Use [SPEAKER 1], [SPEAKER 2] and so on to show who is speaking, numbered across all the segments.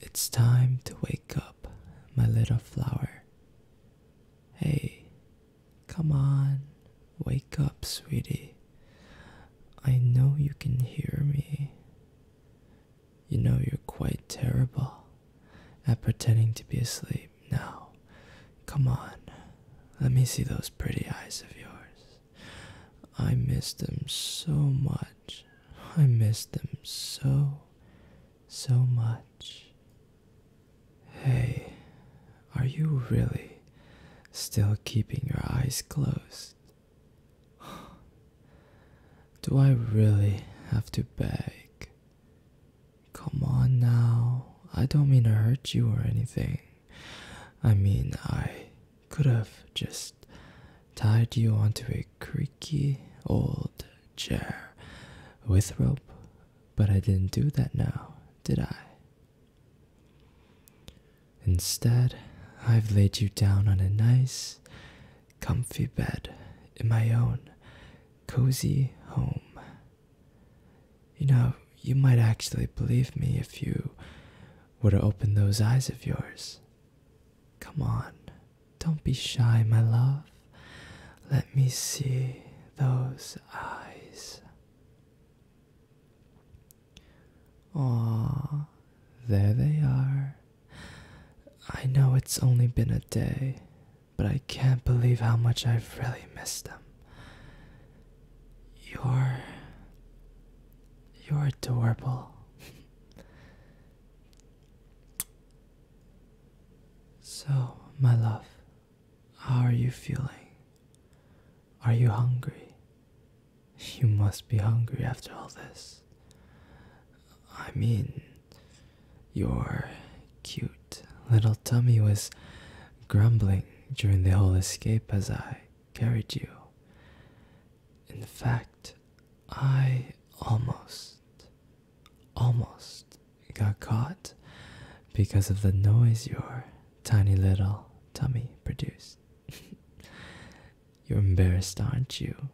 [SPEAKER 1] It's time to wake up, my little flower. Hey, come on, wake up, sweetie. I know you can hear me. You know you're quite terrible at pretending to be asleep now. Come on, let me see those pretty eyes of yours. I miss them so much. I miss them so, so much. Hey, are you really still keeping your eyes closed? Do I really have to beg? Come on now, I don't mean to hurt you or anything. I mean, I could have just tied you onto a creaky old chair with rope, but I didn't do that now, did I? Instead, I've laid you down on a nice, comfy bed in my own cozy home. You know, you might actually believe me if you were to open those eyes of yours. Come on, don't be shy, my love. Let me see those eyes. Aw, there they are. I know it's only been a day, but I can't believe how much I've really missed them. You're. You're adorable. So, my love, how are you feeling? Are you hungry? You must be hungry after all this. I mean, your cute little tummy was grumbling during the whole escape as I carried you. In fact, I almost, almost got caught because of the noise your tiny little tummy produced. You're embarrassed, aren't you?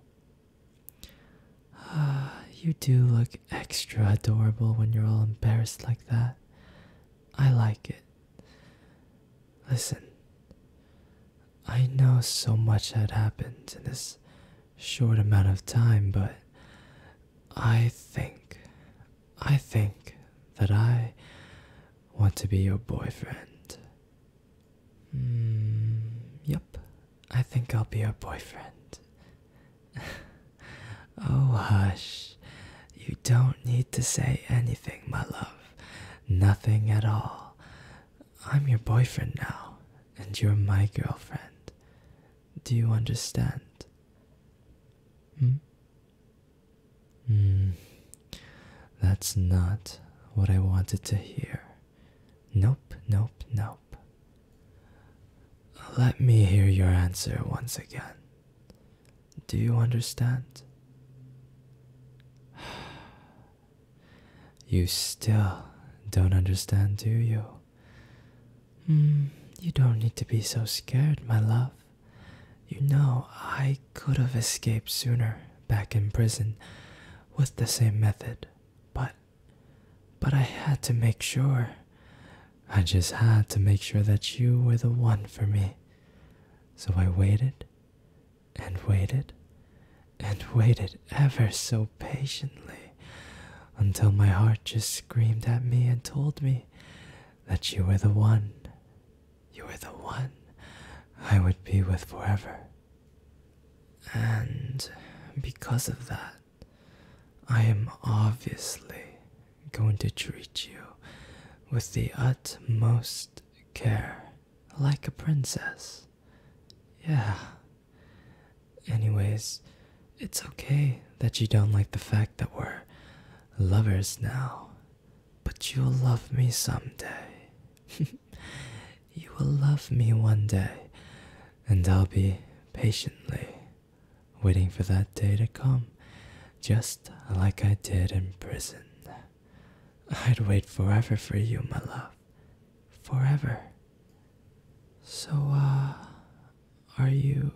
[SPEAKER 1] Ah, you do look extra adorable when you're all embarrassed like that. I like it. Listen, I know so much had happened in this short amount of time, but I think, I think that I want to be your boyfriend. Mm, yep, I think I'll be your boyfriend. oh, hush. You don't need to say anything, my love. Nothing at all. I'm your boyfriend now, and you're my girlfriend. Do you understand? Hmm? Hmm. That's not what I wanted to hear. Nope, nope, nope. Let me hear your answer once again. Do you understand? You still don't understand, do you? Hmm, you don't need to be so scared, my love. You know, I could have escaped sooner back in prison with the same method, but. But I had to make sure. I just had to make sure that you were the one for me. So I waited and waited and waited ever so patiently until my heart just screamed at me and told me that you were the one, you were the one I would be with forever. And because of that, I am obviously going to treat you with the utmost care like a princess. Yeah. Anyways, it's okay that you don't like the fact that we're lovers now, but you'll love me someday. you will love me one day, and I'll be patiently waiting for that day to come just like I did in prison. I'd wait forever for you, my love. Forever. So, uh, are you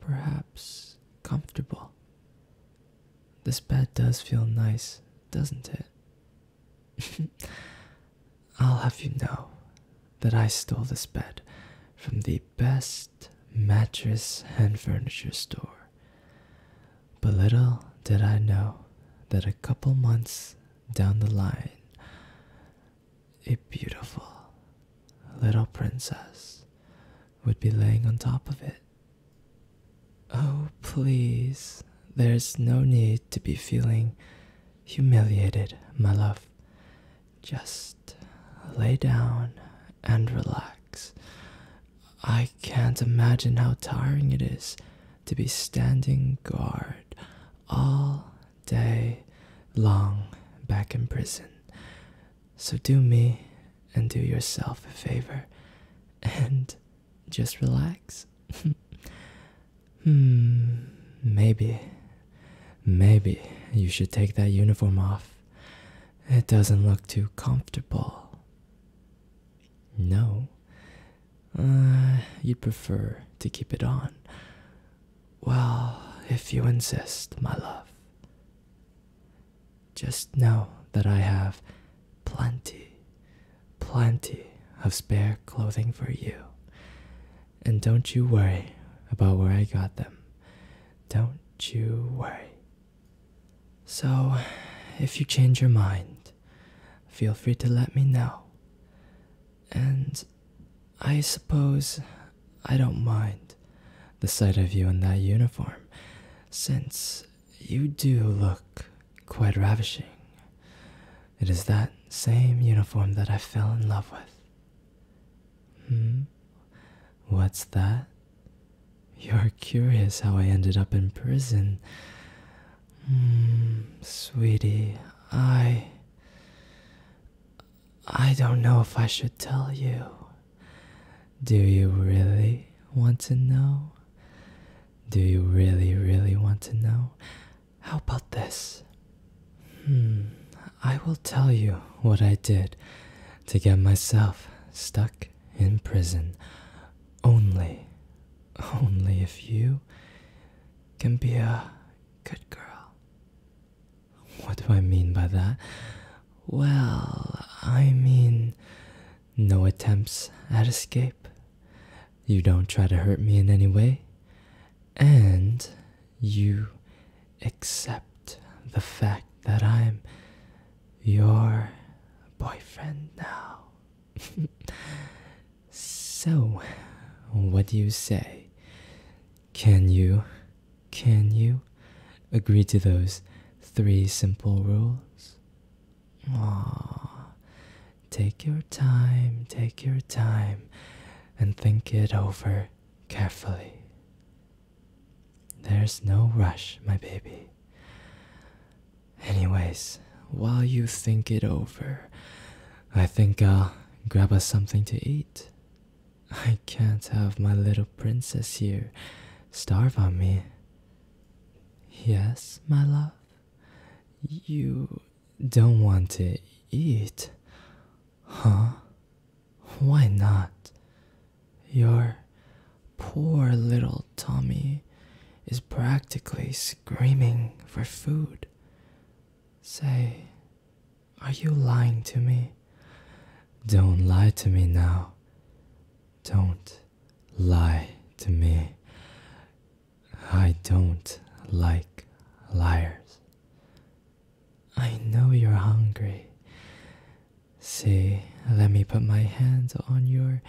[SPEAKER 1] perhaps comfortable? This bed does feel nice, doesn't it? I'll have you know that I stole this bed from the best mattress and furniture store. But little did I know that a couple months down the line, a beautiful little princess would be laying on top of it. Oh, please, there's no need to be feeling humiliated, my love. Just lay down and relax. I can't imagine how tiring it is to be standing guard all day long back in prison. So do me and do yourself a favor and just relax. hmm, maybe, maybe you should take that uniform off it doesn't look too comfortable. No. Uh, you'd prefer to keep it on. Well, if you insist, my love. Just know that I have plenty, plenty of spare clothing for you. And don't you worry about where I got them. Don't you worry. So, if you change your mind, feel free to let me know. And I suppose I don't mind the sight of you in that uniform, since you do look quite ravishing. It is that same uniform that I fell in love with. Hmm? What's that? You're curious how I ended up in prison. Hmm, sweetie, I. I don't know if I should tell you. Do you really want to know? Do you really, really want to know? How about this? Hmm, I will tell you what I did to get myself stuck in prison. Only, only if you can be a good girl. What do I mean by that? Well, I mean, no attempts at escape. You don't try to hurt me in any way. And you accept the fact that I'm your boyfriend now. so, what do you say? Can you, can you agree to those three simple rules? Aww. Take your time, take your time, and think it over carefully. There's no rush, my baby. Anyways, while you think it over, I think I'll grab us something to eat. I can't have my little princess here starve on me. Yes, my love? You don't want to eat? Huh? Why not? Your poor little Tommy is practically screaming for food. Say, are you lying to me? Don't lie to me now. Don't lie to me. I don't like liars. I know you're hungry. See, let me put my hands on your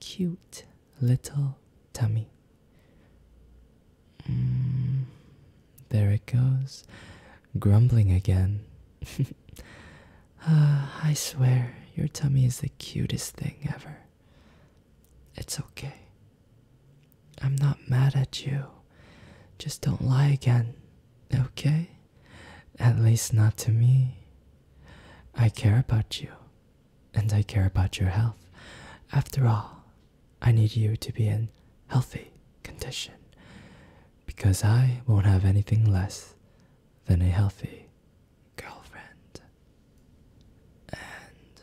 [SPEAKER 1] cute little tummy. Mm, there it goes, grumbling again. Ah, I swear, your tummy is the cutest thing ever. It's okay. I'm not mad at you. Just don't lie again, okay? At least not to me. I care about you, and I care about your health. After all, I need you to be in healthy condition because I won't have anything less than a healthy girlfriend. And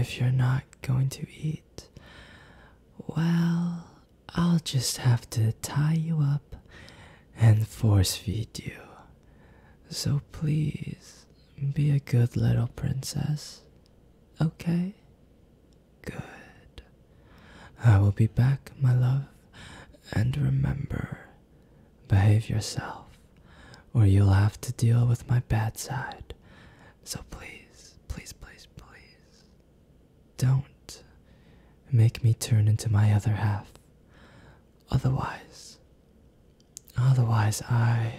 [SPEAKER 1] if you're not going to eat, well, I'll just have to tie you up and force feed you. So please be a good little princess. Okay? Good. I will be back, my love, and remember, behave yourself, or you'll have to deal with my bad side so please, please, please, please, don't make me turn into my other half. Otherwise, otherwise, I.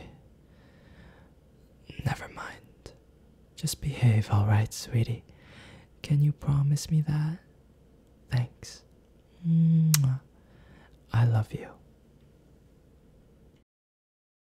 [SPEAKER 1] Never mind. Just behave, alright, sweetie. Can you promise me that? Thanks. I love you.